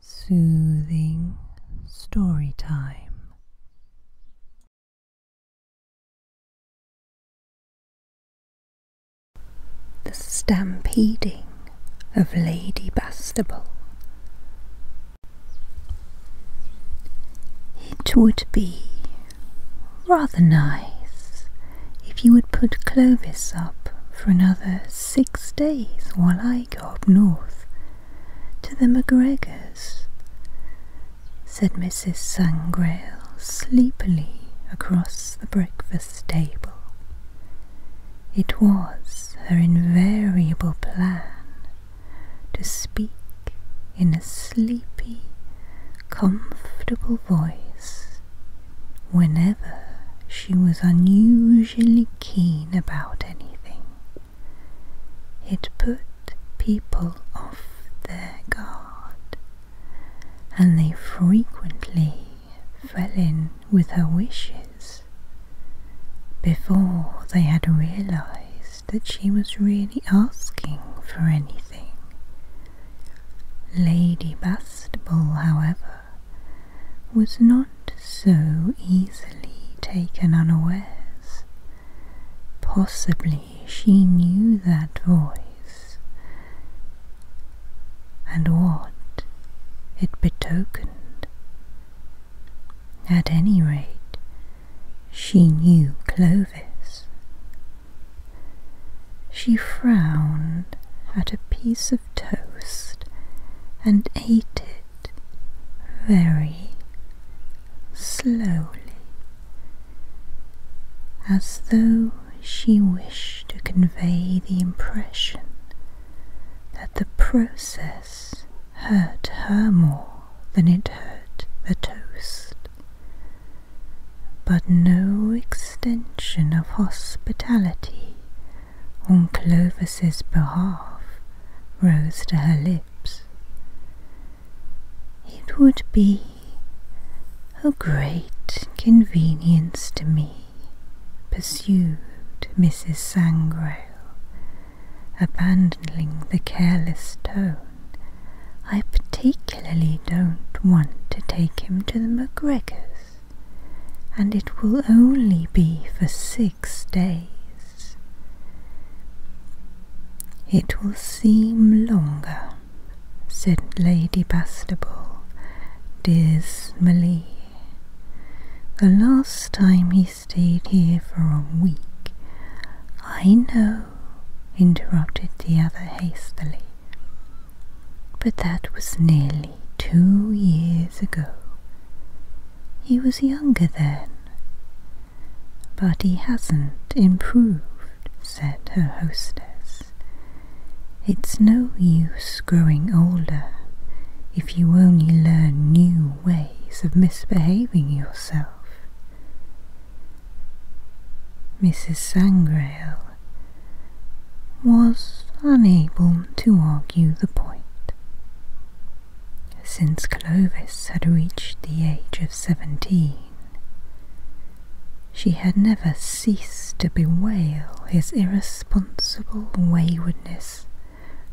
Soothing story time. The stampeding of Lady Bastable. It would be rather nice if you would put Clovis up for another six days while I up north to the MacGregors, said Mrs. Sangrail sleepily across the breakfast table. It was her invariable plan to speak in a sleepy, comfortable voice whenever she was unusually keen about anything. It put people off their guard, and they frequently fell in with her wishes before they had realized that she was really asking for anything. Lady Bastable, however, was not so easily taken unawares. Possibly she knew that voice and what it betokened. At any rate, she knew Clovis. She frowned at a piece of of toast and ate it very slowly, as though she wished to convey the impression that the process hurt her more than it hurt the toast. But no extension of hospitality on Clovis's behalf rose to her lips. It would be a great convenience to me, pursued Mrs. Sangrail, abandoning the careless tone. I particularly don't want to take him to the MacGregors and it will only be for six days. It will seem longer, said Lady Bastable dismally. The last time he stayed here for a week. I know, interrupted the other hastily. But that was nearly two years ago. He was younger then. But he hasn't improved, said her hostess. It's no use growing older if you only learn new ways of misbehaving yourself. Mrs. Sangrail was unable to argue the point. Since Clovis had reached the age of seventeen, she had never ceased to bewail his irresponsible waywardness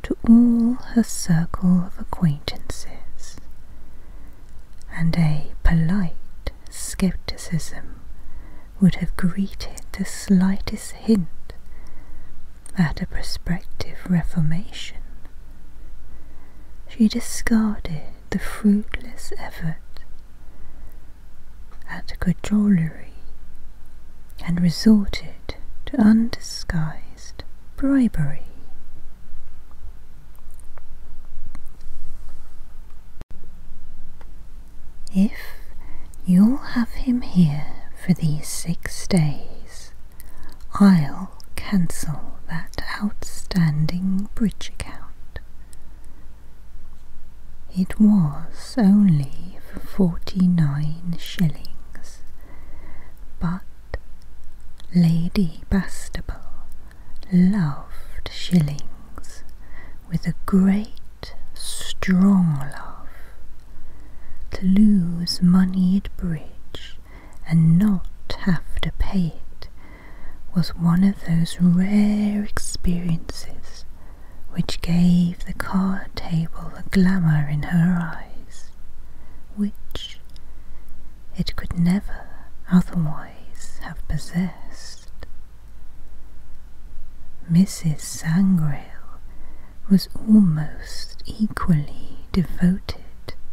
to all her circle of acquaintances, and a polite scepticism would have greeted the slightest hint at a prospective reformation. She discarded the fruitless effort at cajolery and resorted to undisguised bribery. If you'll have him here for these six days, I'll cancel that outstanding bridge account. It was only for forty nine shillings, but Lady Bastable loved shillings, with a great, strong laugh, to lose money at bridge and not have to pay it was one of those rare experiences which gave the card table the glamour in her eyes, which it could never otherwise have possessed. Mrs. Sangrail was almost equally devoted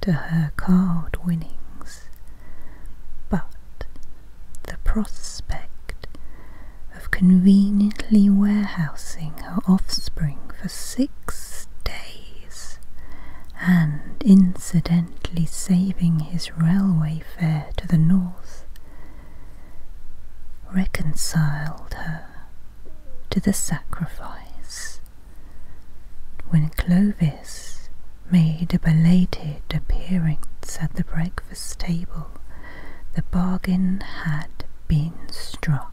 to her card winnings, but the prospect of conveniently warehousing her offspring for six days and incidentally saving his railway fare to the north reconciled her to the sacrifice. When Clovis made a belated appearance at the breakfast table, the bargain had been struck.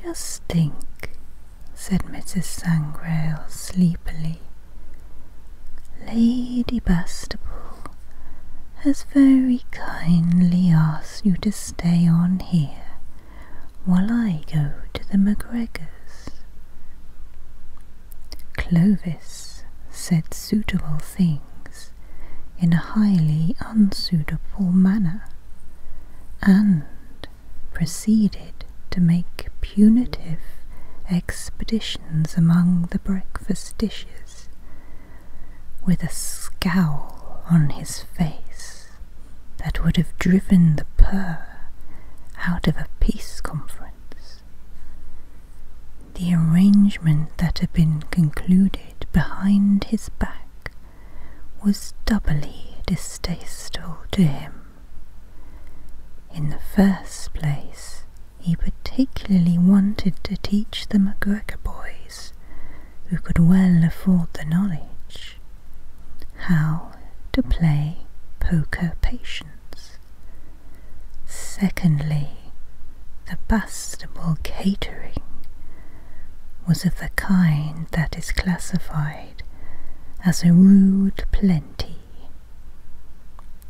Just think, said Mrs. Sangrail sleepily, Lady Bastable has very kindly asked you to stay on here while I go to the MacGregors. Clovis said suitable things in a highly unsuitable manner and proceeded to make punitive expeditions among the breakfast dishes, with a scowl on his face that would have driven the purr out of a peace conference. The arrangement that had been concluded behind his back was doubly distasteful to him. In the first place, he particularly wanted to teach the MacGregor boys, who could well afford the knowledge, how to play poker patience. Secondly, the Bastable catering was of the kind that is classified as a rude plenty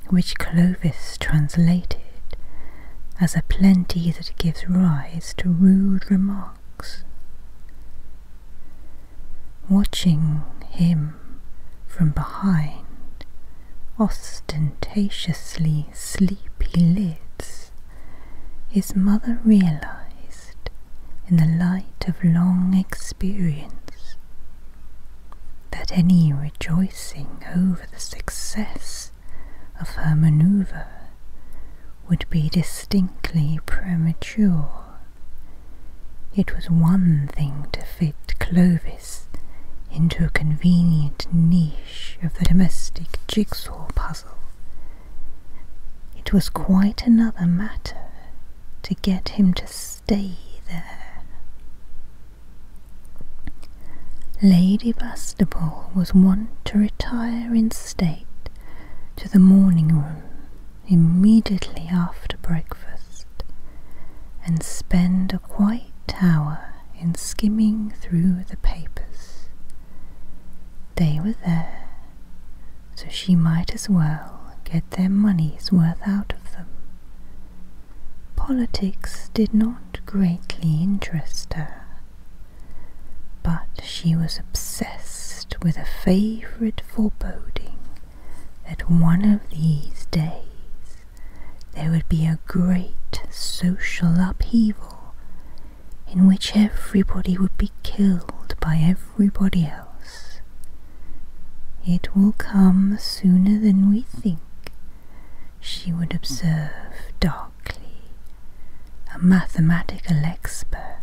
which Clovis translated as a plenty that gives rise to rude remarks. Watching him from behind ostentatiously sleepy lids, his mother realized in the light of long experience that any rejoicing over the success of her manoeuvre would be distinctly premature. It was one thing to fit Clovis into a convenient niche of the domestic jigsaw puzzle. It was quite another matter to get him to stay there. Lady Bastable was wont to retire in state to the morning room immediately after breakfast and spend a quiet hour in skimming through the papers. They were there, so she might as well get their money's worth out of them. Politics did not greatly interest her, but she was obsessed with a favourite foreboding that one of these days there would be a great social upheaval in which everybody would be killed by everybody else. It will come sooner than we think, she would observe darkly, a mathematical expert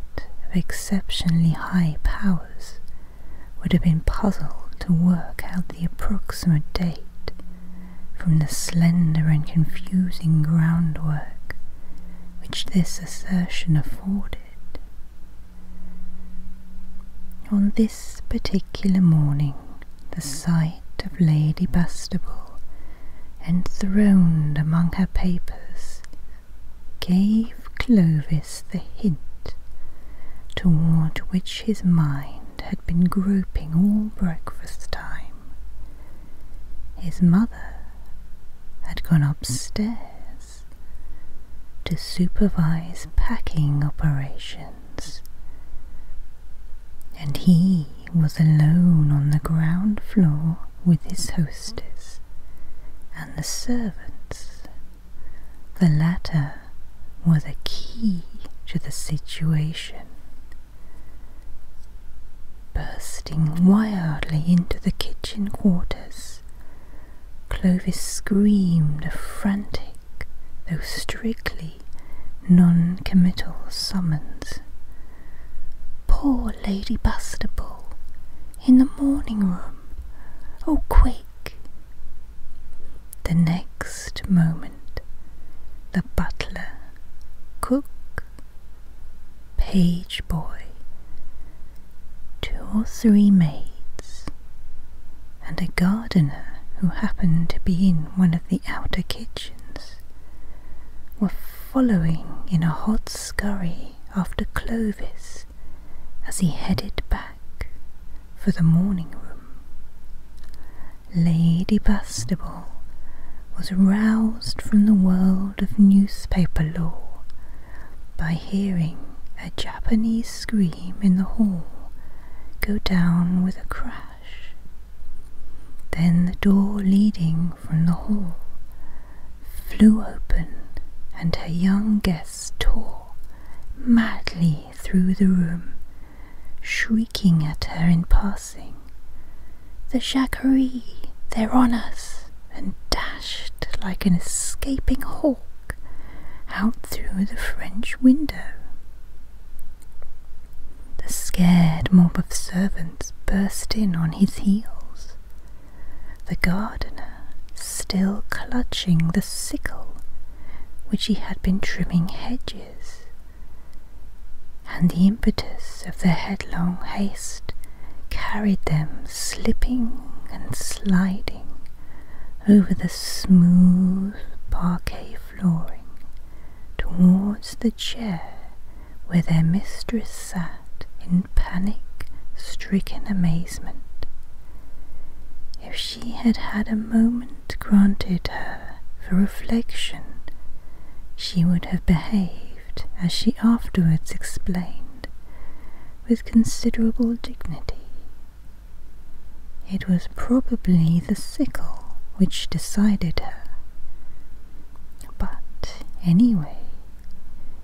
of exceptionally high powers. Would have been puzzled to work out the approximate date from the slender and confusing groundwork which this assertion afforded. On this particular morning, the sight of Lady Bastable, enthroned among her papers, gave Clovis the hint toward which his mind had been groping all breakfast time. His mother had gone upstairs to supervise packing operations, and he was alone on the ground floor with his hostess and the servants. The latter were the key to the situation. Bursting wildly into the kitchen quarters, Clovis screamed a frantic, though strictly non committal summons. Poor Lady Bastable, in the morning room. Oh, quick! The next moment, the butler, cook, page boy, two or three maids, and a gardener who happened to be in one of the outer kitchens were following in a hot scurry after Clovis as he headed back for the morning room. Lady Bastable was roused from the world of newspaper law by hearing a Japanese scream in the hall go down with a crash. Then the door leading from the hall flew open, and her young guests tore madly through the room, shrieking at her in passing, The Jacquerie, they're on us! and dashed like an escaping horse out through the French window. The scared mob of servants burst in on his heels. The gardener, still clutching the sickle which he had been trimming hedges, and the impetus of their headlong haste carried them slipping and sliding over the smooth parquet flooring towards the chair where their mistress sat in panic stricken amazement. If she had had a moment granted her for reflection, she would have behaved as she afterwards explained with considerable dignity. It was probably the sickle which decided her. But anyway,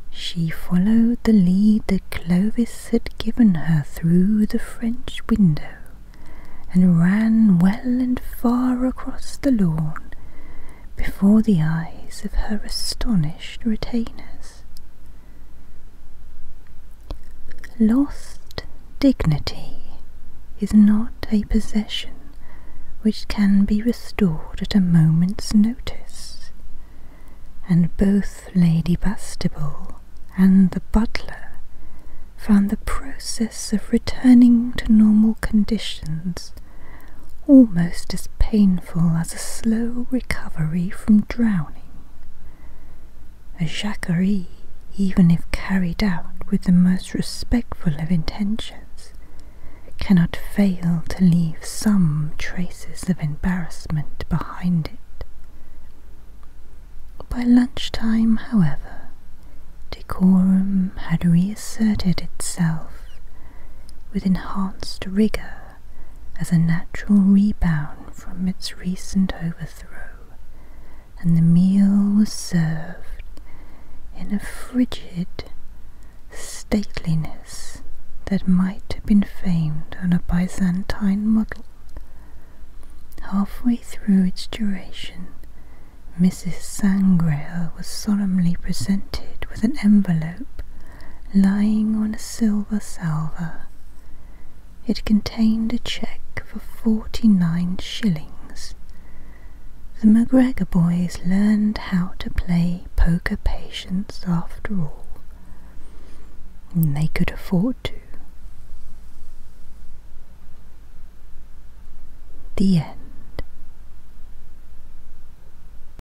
she followed the lead that Clovis had given her through the French window and ran well and far across the lawn before the eyes of her astonished retainers. Lost dignity is not a possession which can be restored at a moment's notice, and both Lady Bastable and the butler found the process of returning to normal conditions almost as painful as a slow recovery from drowning. A jacquerie, even if carried out with the most respectful of intentions, cannot fail to leave some traces of embarrassment behind it. By lunchtime, however, decorum had reasserted itself with enhanced rigour as a natural rebound from its recent overthrow, and the meal was served in a frigid stateliness that might have been famed on a Byzantine model. Halfway through its duration, Mrs. Sangrail was solemnly presented with an envelope lying on a silver salver. It contained a cheque for forty nine shillings. The McGregor boys learned how to play poker patience after all, and they could afford to. The end.